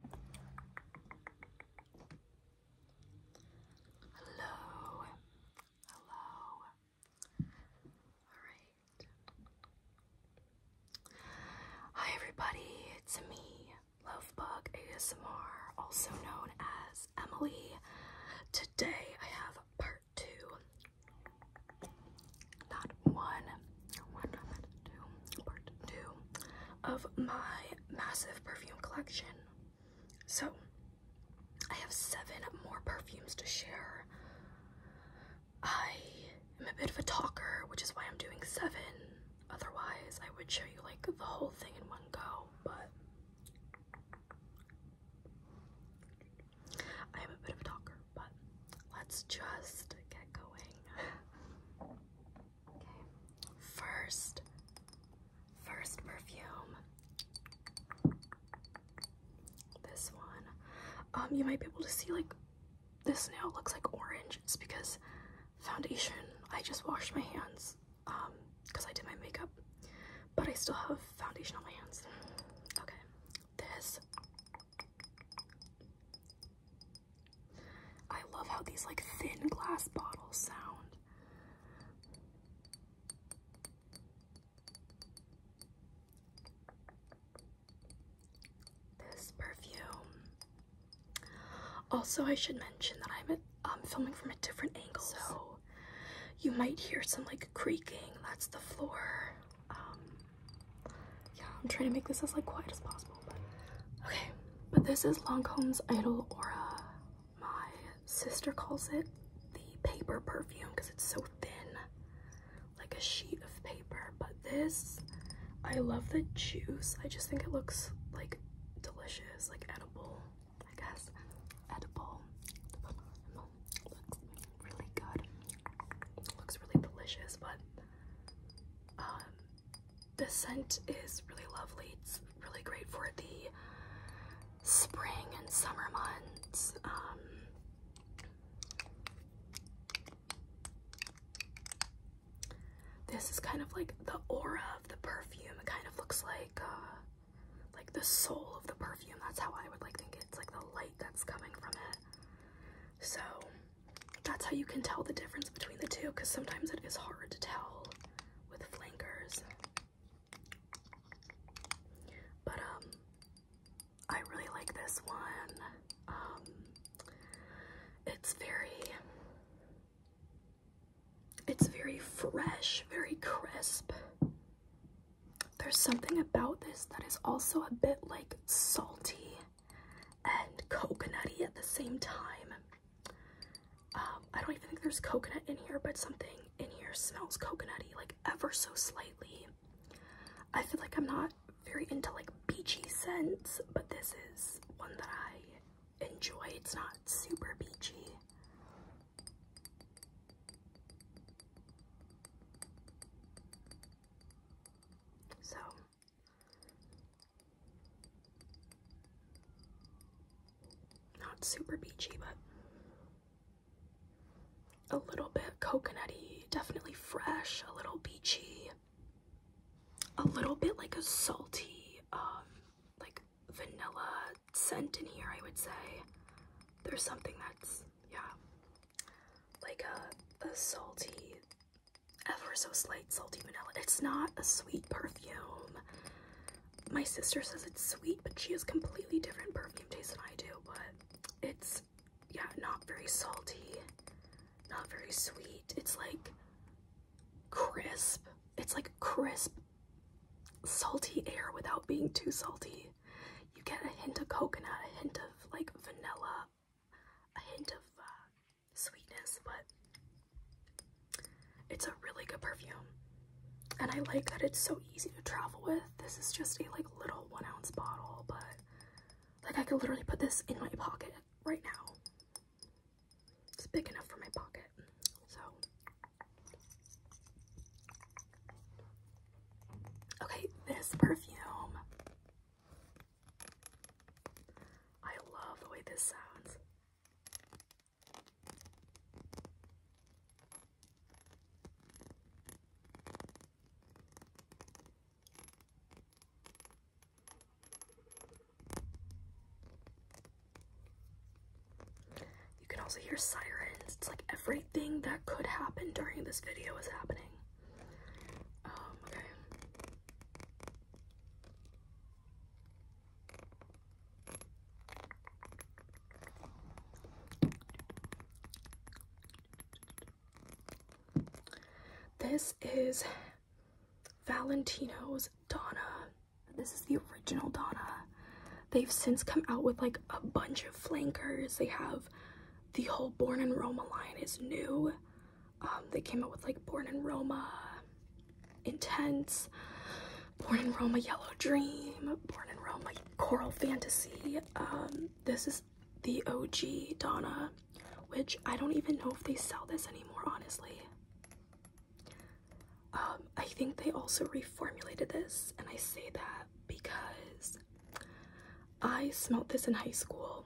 Hello. Hello. Alright. Hi everybody, it's me, Lovebug ASMR, also known as Emily. Today I have part two. Not one, part two of my massive perfume collection. So, I have seven more perfumes to share. I am a bit of a talker, which is why I'm doing seven. Otherwise, I would show you like the whole thing in one go, but I am a bit of a talker, but let's just get going. Okay. First, first perfume. This one. Um, you might be able to see like this now looks like orange. It's because foundation. I just washed my hands um because I did my makeup, but I still have foundation on my hands. Okay. This I love how these like thin glass bottles sound. This perfume. Also, I should mention that I'm um, filming from a different angle, so you might hear some like creaking. That's the floor. Um, yeah, I'm trying to make this as like quiet as possible. But okay, but this is Lancome's Idol Aura. My sister calls it the paper perfume because it's so thin, like a sheet of paper. But this, I love the juice. I just think it looks like delicious, like edible. I guess edible. Looks really good. Looks really delicious, but um, the scent is really lovely. It's really great for the spring and summer months. Um, this is kind of like the aura of the perfume. It kind of looks like uh, like the soul of the perfume. That's how I would like think It's like the light that's coming from it. So that's how you can tell the difference between the two because sometimes it is hard to tell with flankers. But um I really like this one. Um it's very it's very fresh, very crisp. There's something about this that is also a bit like salty and coconutty at the same time. Um, I don't even think there's coconut in here, but something in here smells coconutty, like ever so slightly. I feel like I'm not very into like beachy scents, but this is one that I enjoy. It's not super beachy. So not super beachy, but a little bit coconutty, definitely fresh, a little beachy, a little bit like a salty, um, like vanilla scent in here, I would say. There's something that's, yeah, like a, a salty ever so slight salty vanilla. It's not a sweet perfume. My sister says it's sweet, but she has completely different perfume taste than I do, but it's, yeah, not very salty, not very sweet. It's like crisp. It's like crisp, salty air without being too salty. You get a hint of coconut, a hint of like vanilla, a hint of uh, sweetness, but it's a really good perfume. And I like that it's so easy to travel with. This is just a like little one ounce bottle, but like I could literally put this in my pocket right now. It's big enough for my pocket. So Okay, this perfume I love the way this sounds. You can also hear sirens. It's like everything that could happen during this video is happening. Um, okay. This is Valentino's Donna. This is the original Donna. They've since come out with like a bunch of flankers. They have the whole Born in Roma line is new. Um, they came out with like Born in Roma, Intense, Born in Roma Yellow Dream, Born in Roma Coral Fantasy. Um, this is the OG Donna, which I don't even know if they sell this anymore, honestly. Um, I think they also reformulated this, and I say that because I smelled this in high school,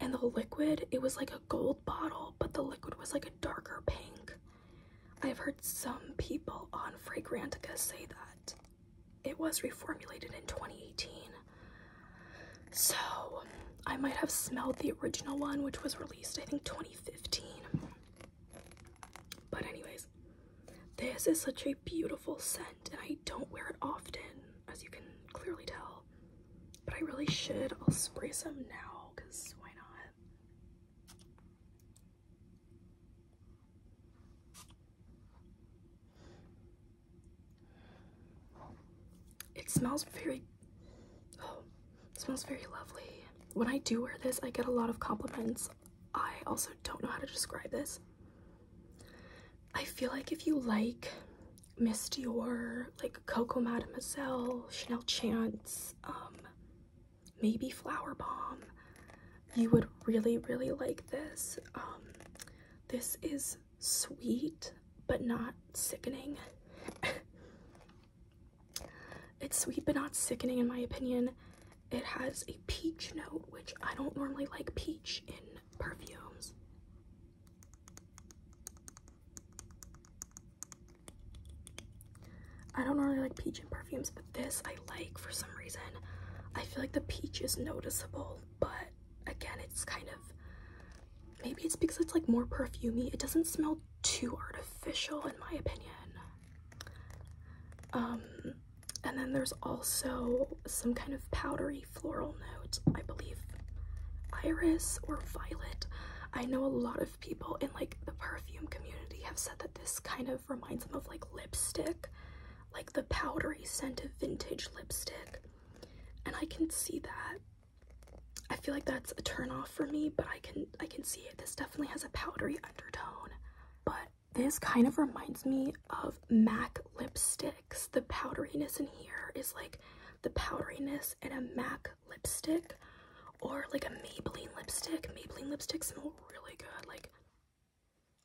and the liquid, it was like a gold bottle, but the liquid was like a darker pink. I've heard some people on Fragrantica say that it was reformulated in 2018. So I might have smelled the original one, which was released, I think, 2015. But, anyways, this is such a beautiful scent, and I don't wear it often as you can clearly tell. But I really should. I'll spray some now because why not? It smells very, oh, smells very lovely. When I do wear this, I get a lot of compliments. I also don't know how to describe this. I feel like if you like Miss Dior, like Coco Mademoiselle, Chanel Chance, um, maybe Flower you would really, really like this. Um, this is sweet, but not sickening. it's sweet, but not sickening in my opinion. It has a peach note, which I don't normally like peach in perfumes. I don't really like peach in perfumes, but this I like for some reason. I feel like the peach is noticeable, but again, it's kind of maybe it's because it's like more perfumy. It doesn't smell too artificial in my opinion. Um and then there's also some kind of powdery floral note. I believe iris or violet. I know a lot of people in like the perfume community have said that this kind of reminds them of like lipstick, like the powdery scent of vintage lipstick. And I can see that. I feel like that's a turn off for me, but I can I can see it. This definitely has a powdery undertone. But this kind of reminds me of MAC lipsticks. The powderiness in here is like the powderiness in a MAC lipstick or like a Maybelline lipstick. Maybelline lipsticks smell really good. Like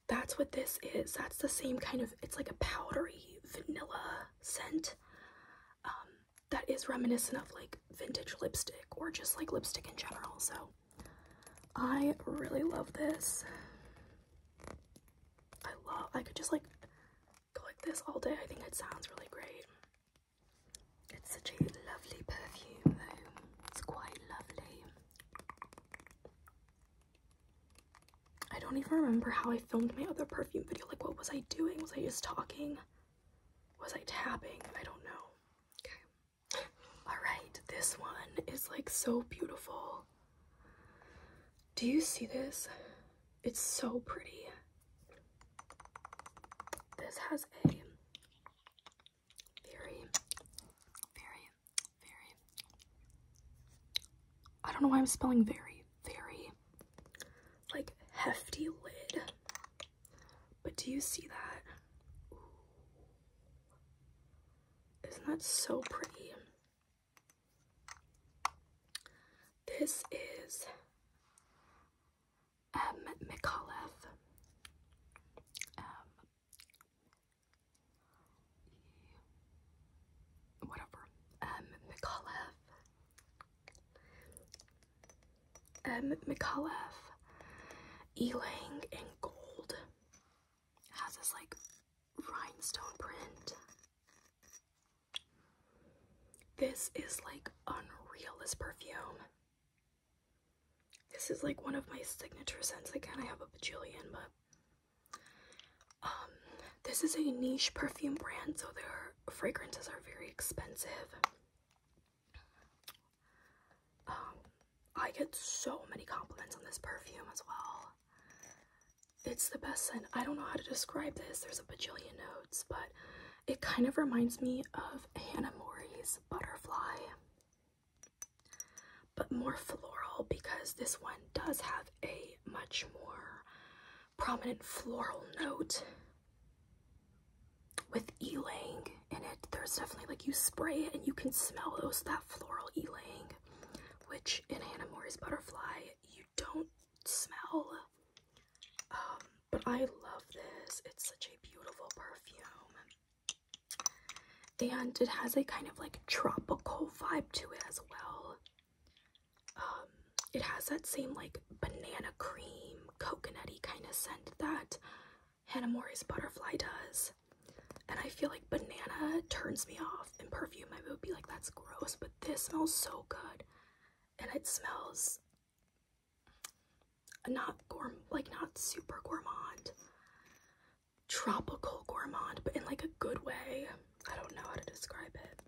that's what this is. That's the same kind of, it's like a powdery vanilla scent um, that is reminiscent of like vintage lipstick or just like lipstick in general. So I really love this. I love, I could just like go like this all day. I think it sounds really great. It's such a lovely perfume It's quite lovely. I don't even remember how I filmed my other perfume video. Like what was I doing? Was I just talking? Was I tapping? I don't know. Okay. Alright, this one is like so beautiful. Do you see this? It's so pretty. This has a very, very, very, I don't know why I'm spelling very, very, like hefty lid. But do you see that? not that so pretty? This is M. Um, McAuliffe. Um, whatever. M. McAuliffe. M. McAuliffe, Elang, and Gold has this like rhinestone print. This is like unreal, this perfume. This is like one of my signature scents. Again, I have a bajillion, but um, this is a niche perfume brand, so their fragrances are very expensive. Um, I get so many compliments on this perfume as well. It's the best scent. I don't know how to describe this. There's a bajillion notes, but it kind of reminds me of Hannah Morey's Butterfly, but more floral because this one does have a much more prominent floral note with ylang in it. There's definitely like you spray it and you can smell those that floral ylang which in Hannah Mori's Butterfly you don't smell. Um, but I love this. It's such a beautiful perfume. And it has a kind of like tropical vibe to it as well. Um, it has that same like banana cream, coconutty kind of scent that Hannah Hanamori's butterfly does. And I feel like banana turns me off. In perfume, I would be like, that's gross, but this smells so good. And it smells not gourm like not super gourmand tropical gourmand but in like a good way i don't know how to describe it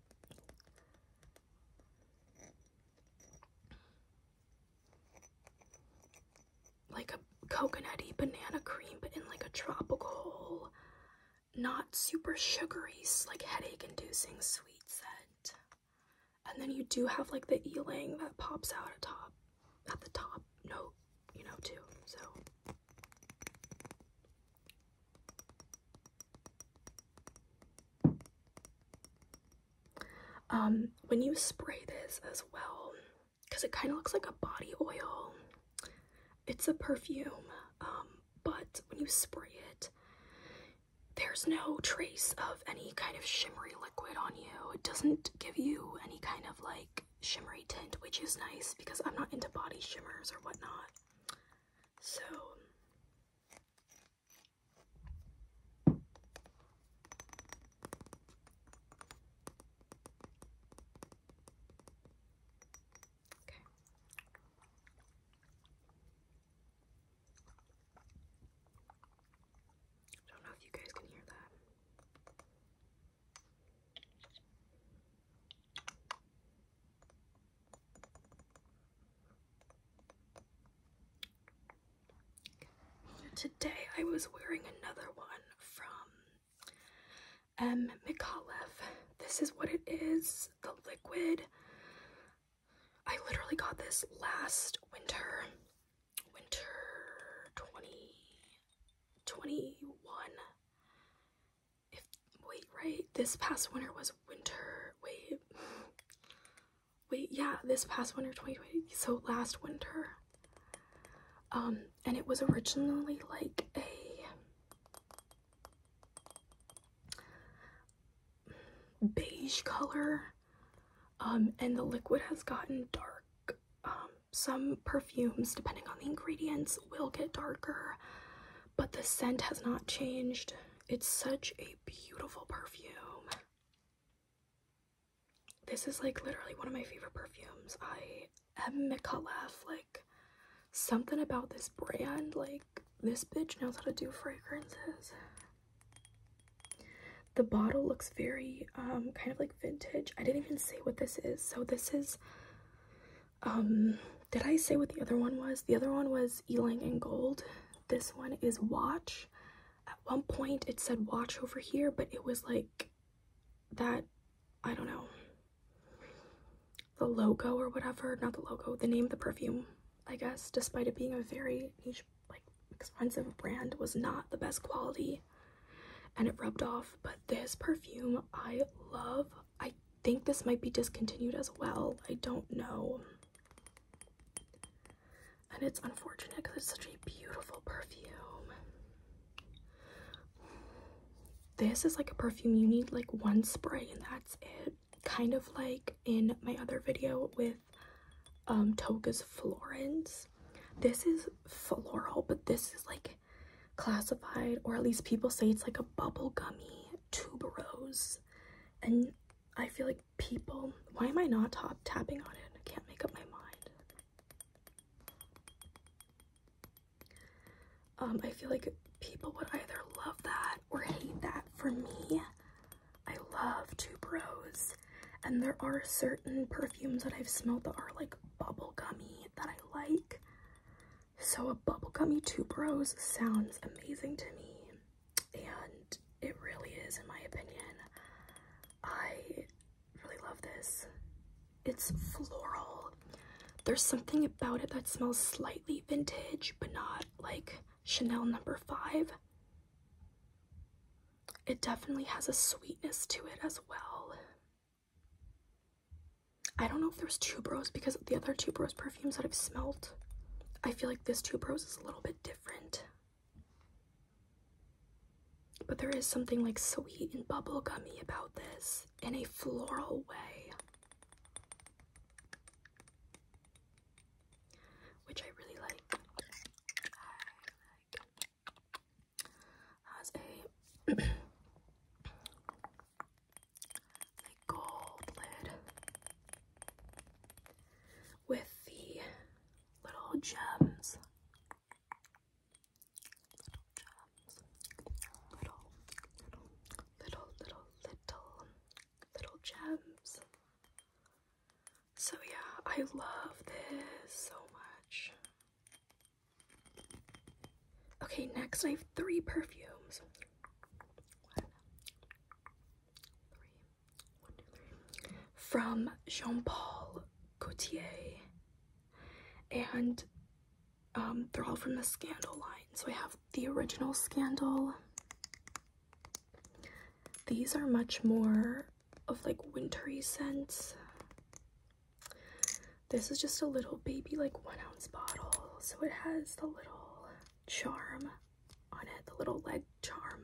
like a coconutty banana cream, but in like a tropical, not super sugary, like headache inducing sweet scent. And then you do have like the ealing that pops out at top at the top note, you know, too. So Um, when you spray this as well, because it kind of looks like a body oil. It's a perfume, um, but when you spray it, there's no trace of any kind of shimmery liquid on you. It doesn't give you any kind of like shimmery tint, which is nice because I'm not into body shimmers or whatnot. So, Okay. I don't know if you guys can hear that. Today I was wearing another one from M. Um, McAuliffe. This is what it is, the liquid. I literally got this last winter, winter 2021. if, wait, right? This past winter was winter, wait. Wait, yeah, this past winter 2020. So last winter um, and it was originally like a beige color. Um, and the liquid has gotten dark. Um, some perfumes, depending on the ingredients, will get darker, but the scent has not changed. It's such a beautiful perfume. This is like literally one of my favorite perfumes. I am McCullough. Like, something about this brand, like, this bitch knows how to do fragrances. The bottle looks very, um, kind of like vintage. I didn't even say what this is. So this is, um, did I say what the other one was? The other one was Ealing and Gold. This one is Watch. At one point it said Watch over here, but it was like that I don't know the logo or whatever not the logo the name the perfume I guess despite it being a very like expensive brand was not the best quality and it rubbed off but this perfume I love I think this might be discontinued as well I don't know and it's unfortunate because it's such a beautiful perfume. This is like a perfume you need like one spray and that's it. Kind of like in my other video with um, Toga's Florence. This is floral, but this is like classified, or at least people say it's like a bubblegummy tuberose. And I feel like people, why am I not top tapping on it? I can't make up my mind. Um, I feel like people would either love that or hate that. For me, I love Tube Rose, and there are certain perfumes that I've smelled that are like bubblegummy that I like. So a bubblegummy Tube Rose sounds amazing to me, and it really is, in my opinion. I really love this. It's floral. There's something about it that smells slightly vintage, but not like Chanel number five. It definitely has a sweetness to it as well. I don't know if there's Tuberose because the other Tuberose perfumes that I've smelt, I feel like this Tuberose is a little bit different. But there is something like sweet and bubblegummy about this in a floral way. Which I really like. has a gold lid with the little gems. Little gems. Little, little, little, little, gems. So yeah, I love this so much. Okay, next I have three perfumes from Jean Paul Gaultier, and um, they're all from the Scandal line. So I have the original Scandal. These are much more of like wintry scents. This is just a little baby like one ounce bottle. So it has the little charm on it, the little leg charm.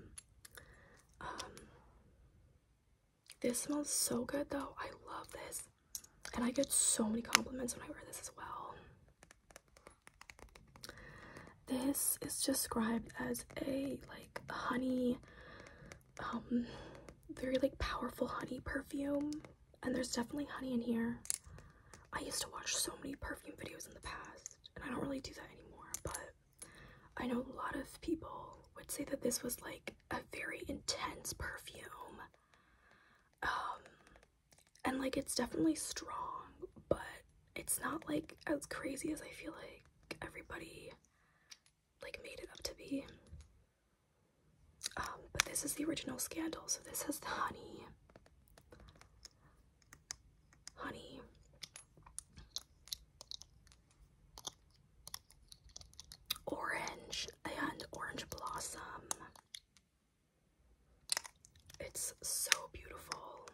Um, this smells so good though. I love this. And I get so many compliments when I wear this as well. This is described as a like honey, um, very like powerful honey perfume. And there's definitely honey in here. I used to watch so many perfume videos in the past, and I don't really do that anymore, but I know a lot of people would say that this was like a very intense perfume. Um, and like it's definitely strong, but it's not like as crazy as I feel like everybody like made it up to be. Um, but this is the original scandal, so this has the honey honey. Orange and orange blossom. It's so beautiful.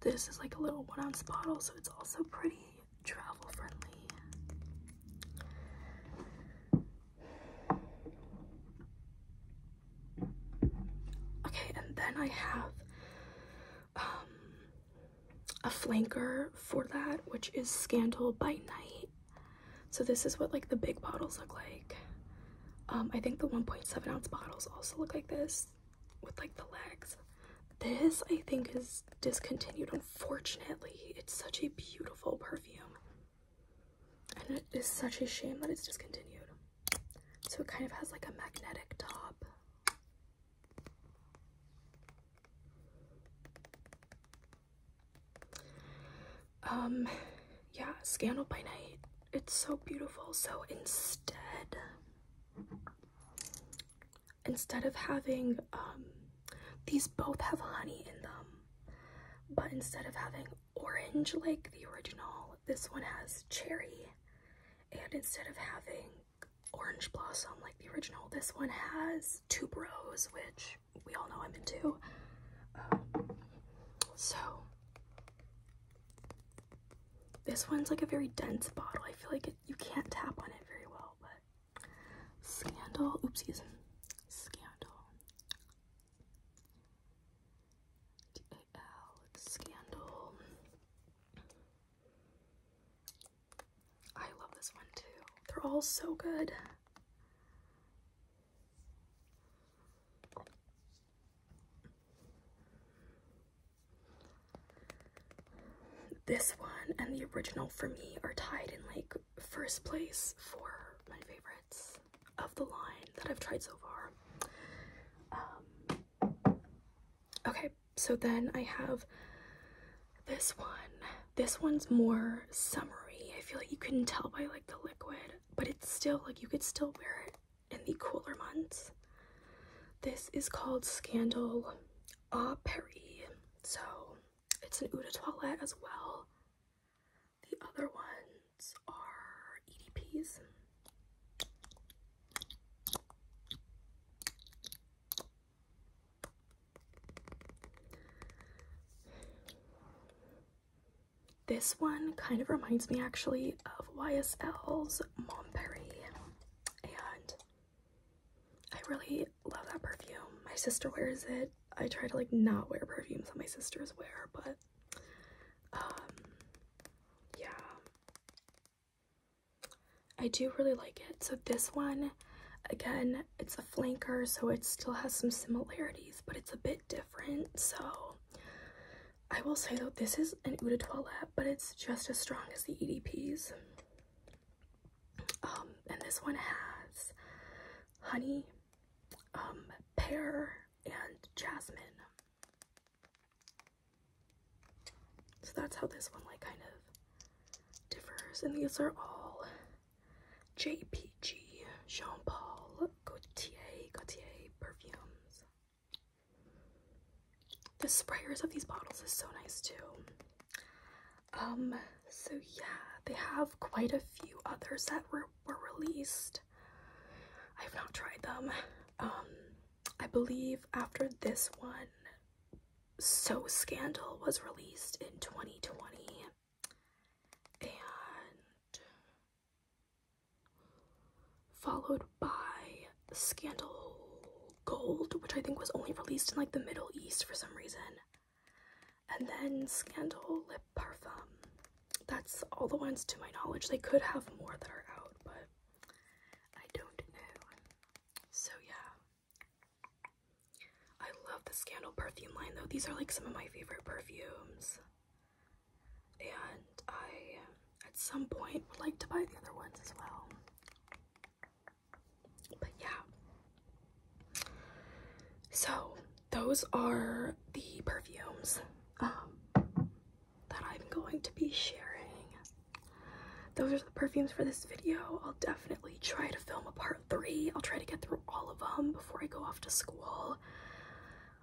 This is like a little one ounce bottle, so it's also pretty travel friendly. Okay, and then I have um, a flanker for that, which is Scandal by Night. So this is what like the big bottles look like. Um, I think the 1.7 ounce bottles also look like this with like the legs. This I think is discontinued, unfortunately. It's such a beautiful perfume. And it is such a shame that it's discontinued. So it kind of has like a magnetic top. Um, yeah, Scandal by Night. It's so beautiful. So instead, instead of having um, these both have honey in them, but instead of having orange like the original, this one has cherry. And instead of having orange blossom like the original, this one has tuberose, which we all know I'm into. Um, so this one's like a very dense bottle. I feel like you can't tap on it very well, but Scandal, oopsies, Scandal. DAL, Scandal. I love this one too. They're all so good. This one and the original for me are tied in like first place for my favorites of the line that I've tried so far. Um, okay, so then I have this one. This one's more summery. I feel like you can tell by like the liquid, but it's still like you could still wear it in the cooler months. This is called Scandal A Paris. So it's an eau de toilette as well. The other ones are EDPs. This one kind of reminds me actually of YSL's Mom and I really love that perfume. My sister wears it. I try to like not wear perfumes that my sisters wear, but um, yeah. I do really like it. So this one, again, it's a flanker, so it still has some similarities, but it's a bit different. So I will say though, this is an Eau de Toilette, but it's just as strong as the EDPs. Um, and this one has honey, um, pear, and jasmine. So that's how this one like kind of differs. And these are all JPG Jean Paul Gaultier Gaultier perfumes. The sprayers of these bottles is so nice too. Um, so yeah, they have quite a few others that were, were released. I've not tried them. Um, I believe after this one, So Scandal was released in 2020. And followed by Scandal Gold, which I think was only released in like the Middle East for some reason. And then Scandal Lip Parfum. That's all the ones to my knowledge. They could have more that are out, but I don't know. So yeah. I love the Scandal perfume line though. These are like some of my favorite perfumes. And I, at some point, would like to buy the other ones as well. But yeah. So those are the perfumes um, that I'm going to be sharing. Those are the perfumes for this video. I'll definitely try to film a part three. I'll try to get through all of them before I go off to school.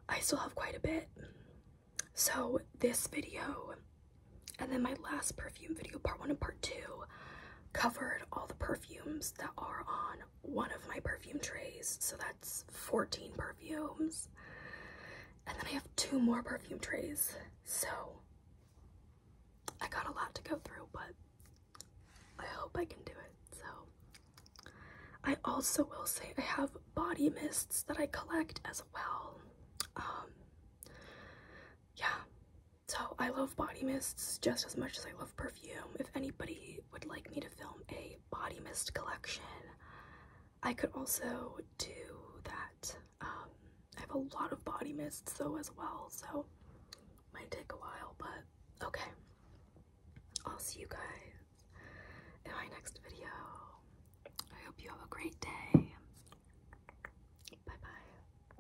I still have quite a bit. So this video and then my last perfume video, part one and part two, covered all the perfumes that are on one of my perfume trays. So that's 14 perfumes. And then I have two more perfume trays. So I got a lot to go through, but I hope I can do it. So I also will say I have body mists that I collect as well. Um, yeah, so I love body mists just as much as I love perfume. If anybody would like me to film a body mist collection, I could also do that. Um, I have a lot of body mists though as well, so might take a while, but okay. I'll see you guys in my next video. I hope you have a great day. Bye-bye.